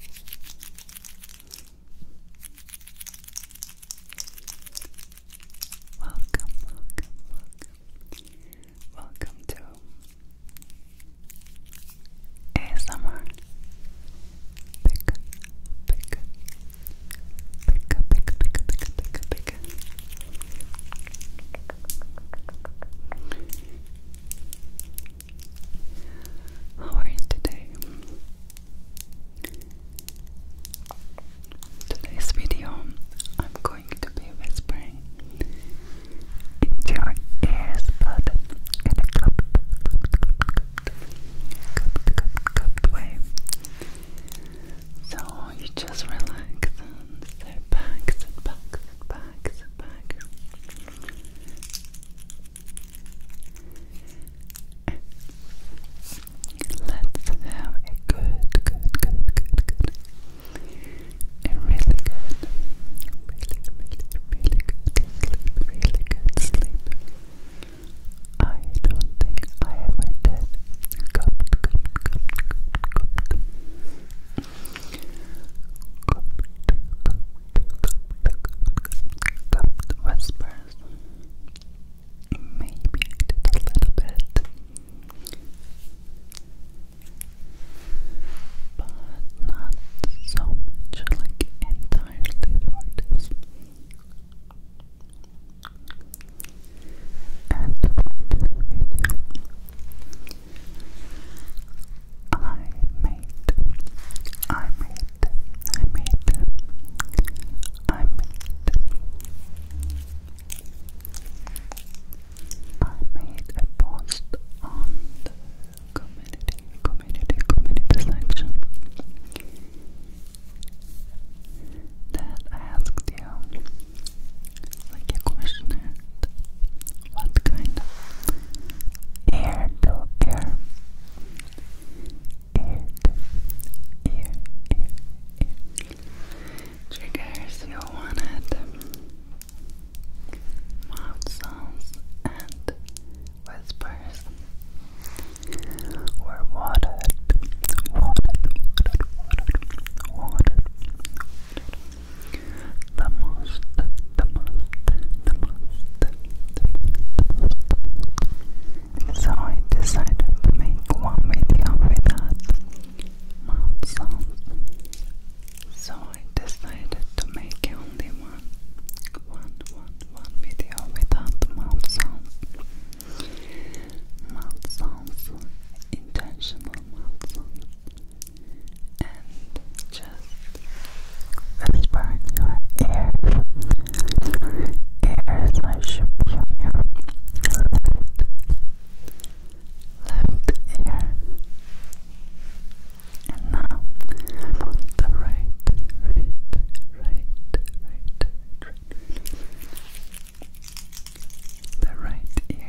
Welcome, welcome, welcome. Welcome to ASMR. Pick, pick, pick, pick, pick, pick, pick, pick. How are you today? Today's video, I'm going to be whispering into your ears, but in a cup, cup, cup, way. So you just relax and sit back, sit back, sit back, sit back. Let's have a good, good, good, good, good, a really good, really, really, really good sleep, really good sleep. I don't think I ever did. Cup, cup, cup, cup, cup, Cupped whispers. Maybe a little bit. But not so much like entirely for this. And I made, I made, I made, I made, I made a post on the community, community, community section that asked you, like a questionnaire what kind? Air air. Air air, air, air. Triggers you wanted. Mouth sounds and whispers were watered, watered, the most, the most, the most, the most. So I decided to make one video without mouth sounds. So I decided to make only one, one, one, one video without mouth sounds. Mouth sounds, intentional mouth sounds and just whisper your ear, ear slash your left, ear, and now i the right, right, right, right, right. The right ear,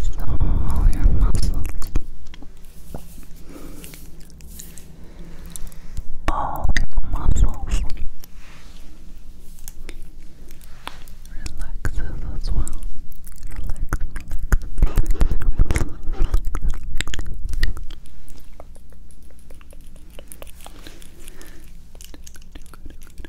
so all your muscles, all your muscles relaxes as well. Relax, relax, relax, relax, relax. Good, good, good,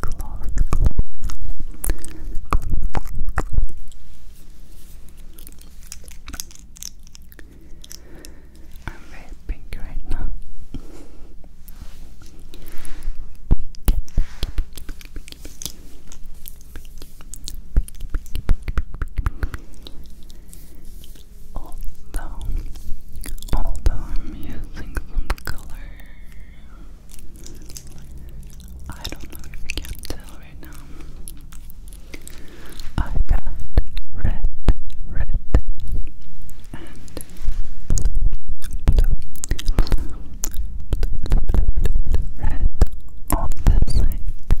cloth, cloth. I'm very pink right now. Although, although I'm using some color I don't know if you can tell right now. I got red, red, and red on this side. It on your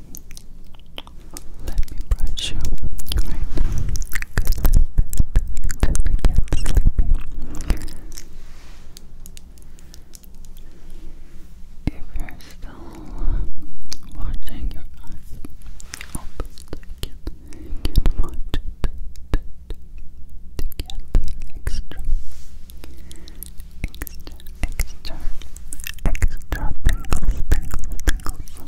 Let me brush you right now. Good little bit, because If you're still uh, watching your eyes open, you can, you can get extra, extra, extra, extra tingles, tingles,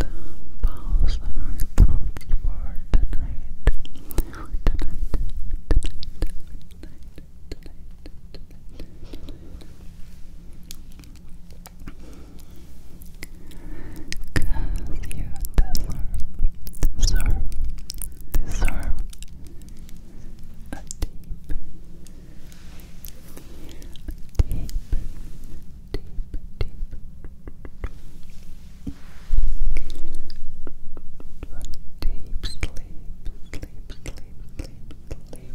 pause on our thoughts for tonight. Tonight, tonight, tonight, tonight, tonight. Cause you deserve, deserve, deserve a deep, deep, deep sleep, sleep, sleep, sleep, sleep.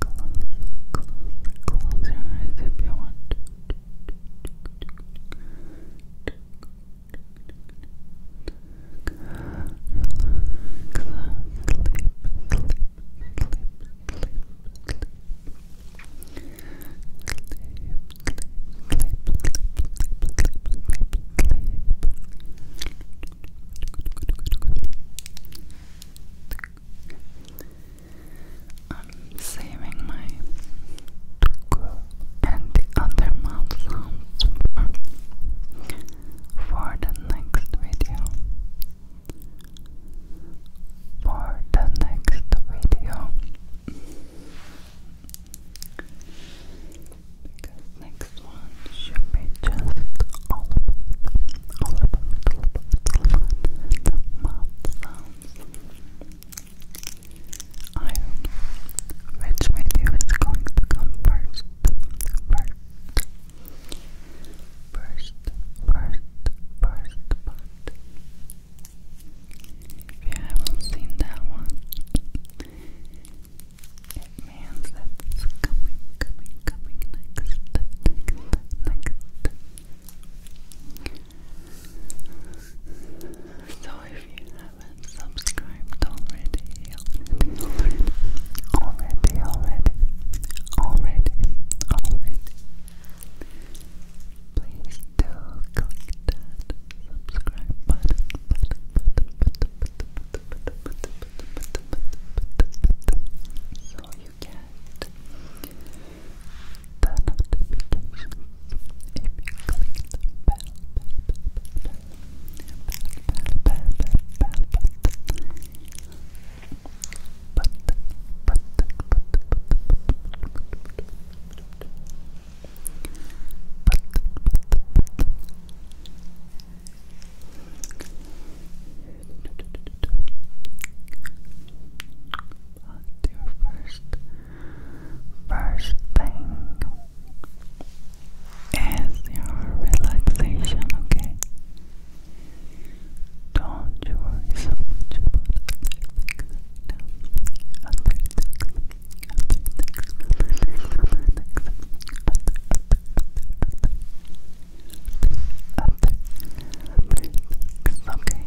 Close Close, close, your eyes if you want. I'm saving my and the other mouth sounds for for the next video. For the next video. Because next one should be just all about, all about, all about, the mouth sounds. I don't know which video is going to come First, part. First, first, first part. If you haven't seen that one, it means that it's coming, coming, coming next, next, next. So if you haven't subscribed, arrived already. Already, already, already, already. already. Please do click that subscribe button. so you get the notifications if you click the bell, but your first, first thing is your relaxation, okay? Don't you worry so much about other things, other things, other things, other things, other, other, other, other, other, other okay?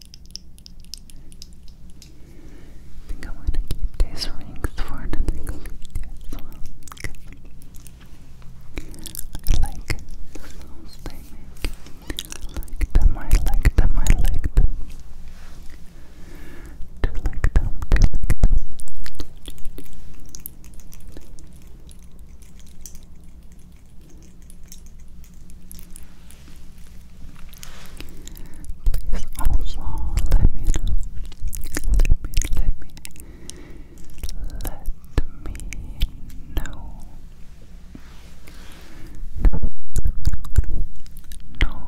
I think am gonna keep these rings for the sounds I like them, I like them. I like them, I like them. Please also let me know. Let me, let me, let me know. Know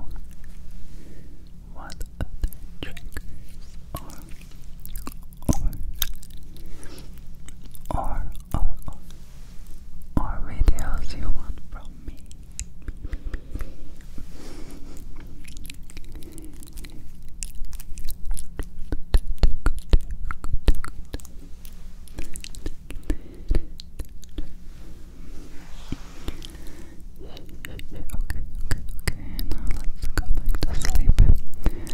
what other or, or, or, or videos you want from me. Okay, okay, okay. Now let's go back to sleep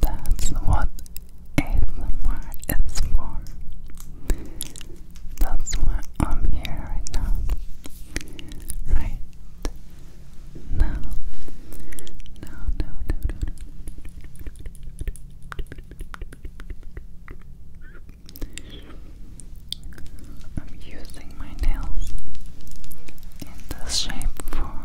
That's what ASMR for. That's why I'm here now. Right now. No, no, no, no, no. I'm using my nails in this shape for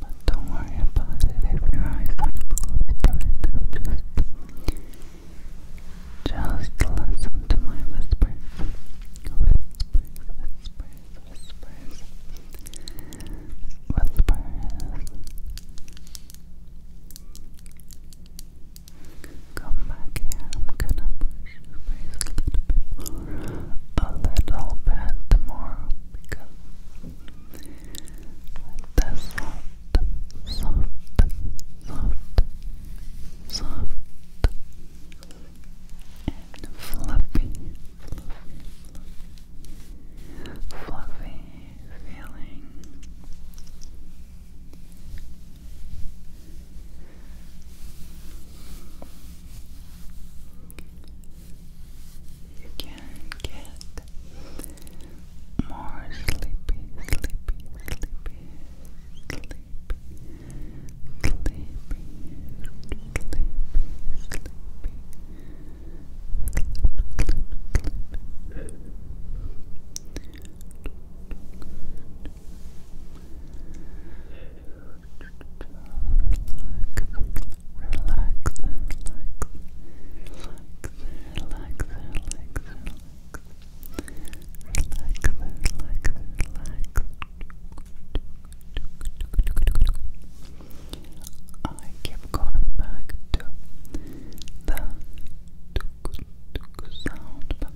but don't worry about it if your eyes are closed right Just, just listen to my whispers. Whispers, whispers, whispers. Whispers. Come back here. I'm gonna brush your face a little bit A little bit more because with soft, soft, soft, soft and fluffy, fluffy feeling. You can get more sleepy, sleepy, sleepy, sleepy, sleepy, sleepy, sleepy, sleepy, sleepy. I keep going back to the sound,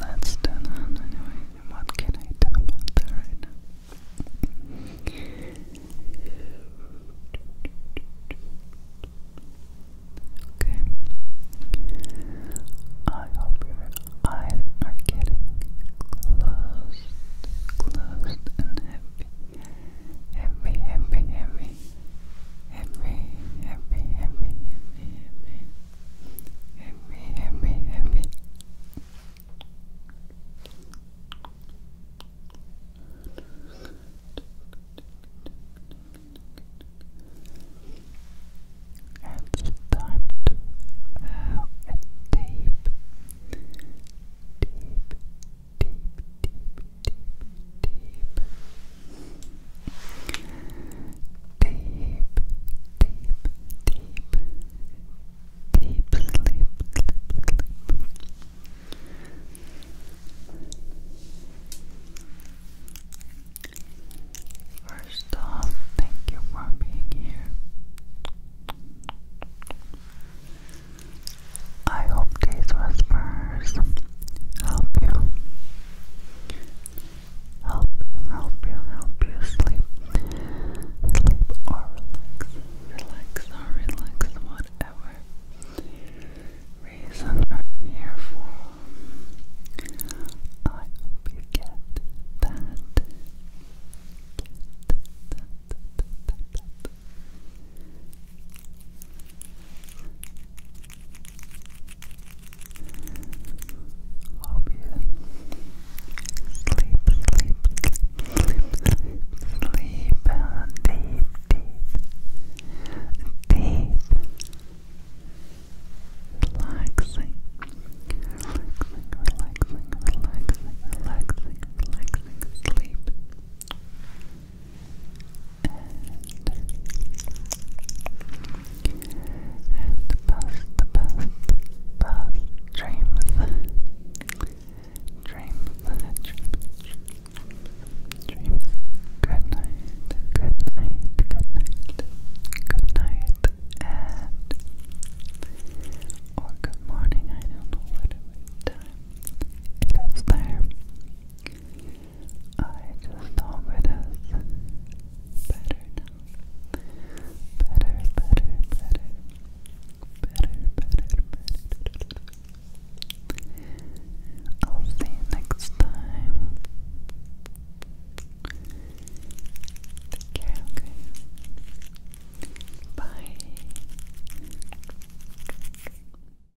that's done anyway. What can I do about that right now? okay. I hope your eyes are getting closed, closed and heavy. Heavy, heavy, heavy happy, happy, happy, happy, happy, happy, happy, happy. And start out a deep, deep, deep, deep, deep, deep sleep, sleep, sleep. First off, thank you for being here. I hope these whispers help you, help help you, help you sleep, sleep or relax, relax or relax, whatever reason you're here for. I hope you get that, get that, that, that, that, Hope you sleep, sleep, sleep, sleep, sleep, deep, deep, deep, relaxing, relaxing, relaxing, relaxing, relaxing, relaxing sleep and the best, the best, best dreams. Dreams, dreams, dreams, Good night, good night, good night, good night, or good morning. I don't know what time it is there. I just hope it is better now. Better, better, better. Better, better, better. I'll see you next time. Take care, Bye.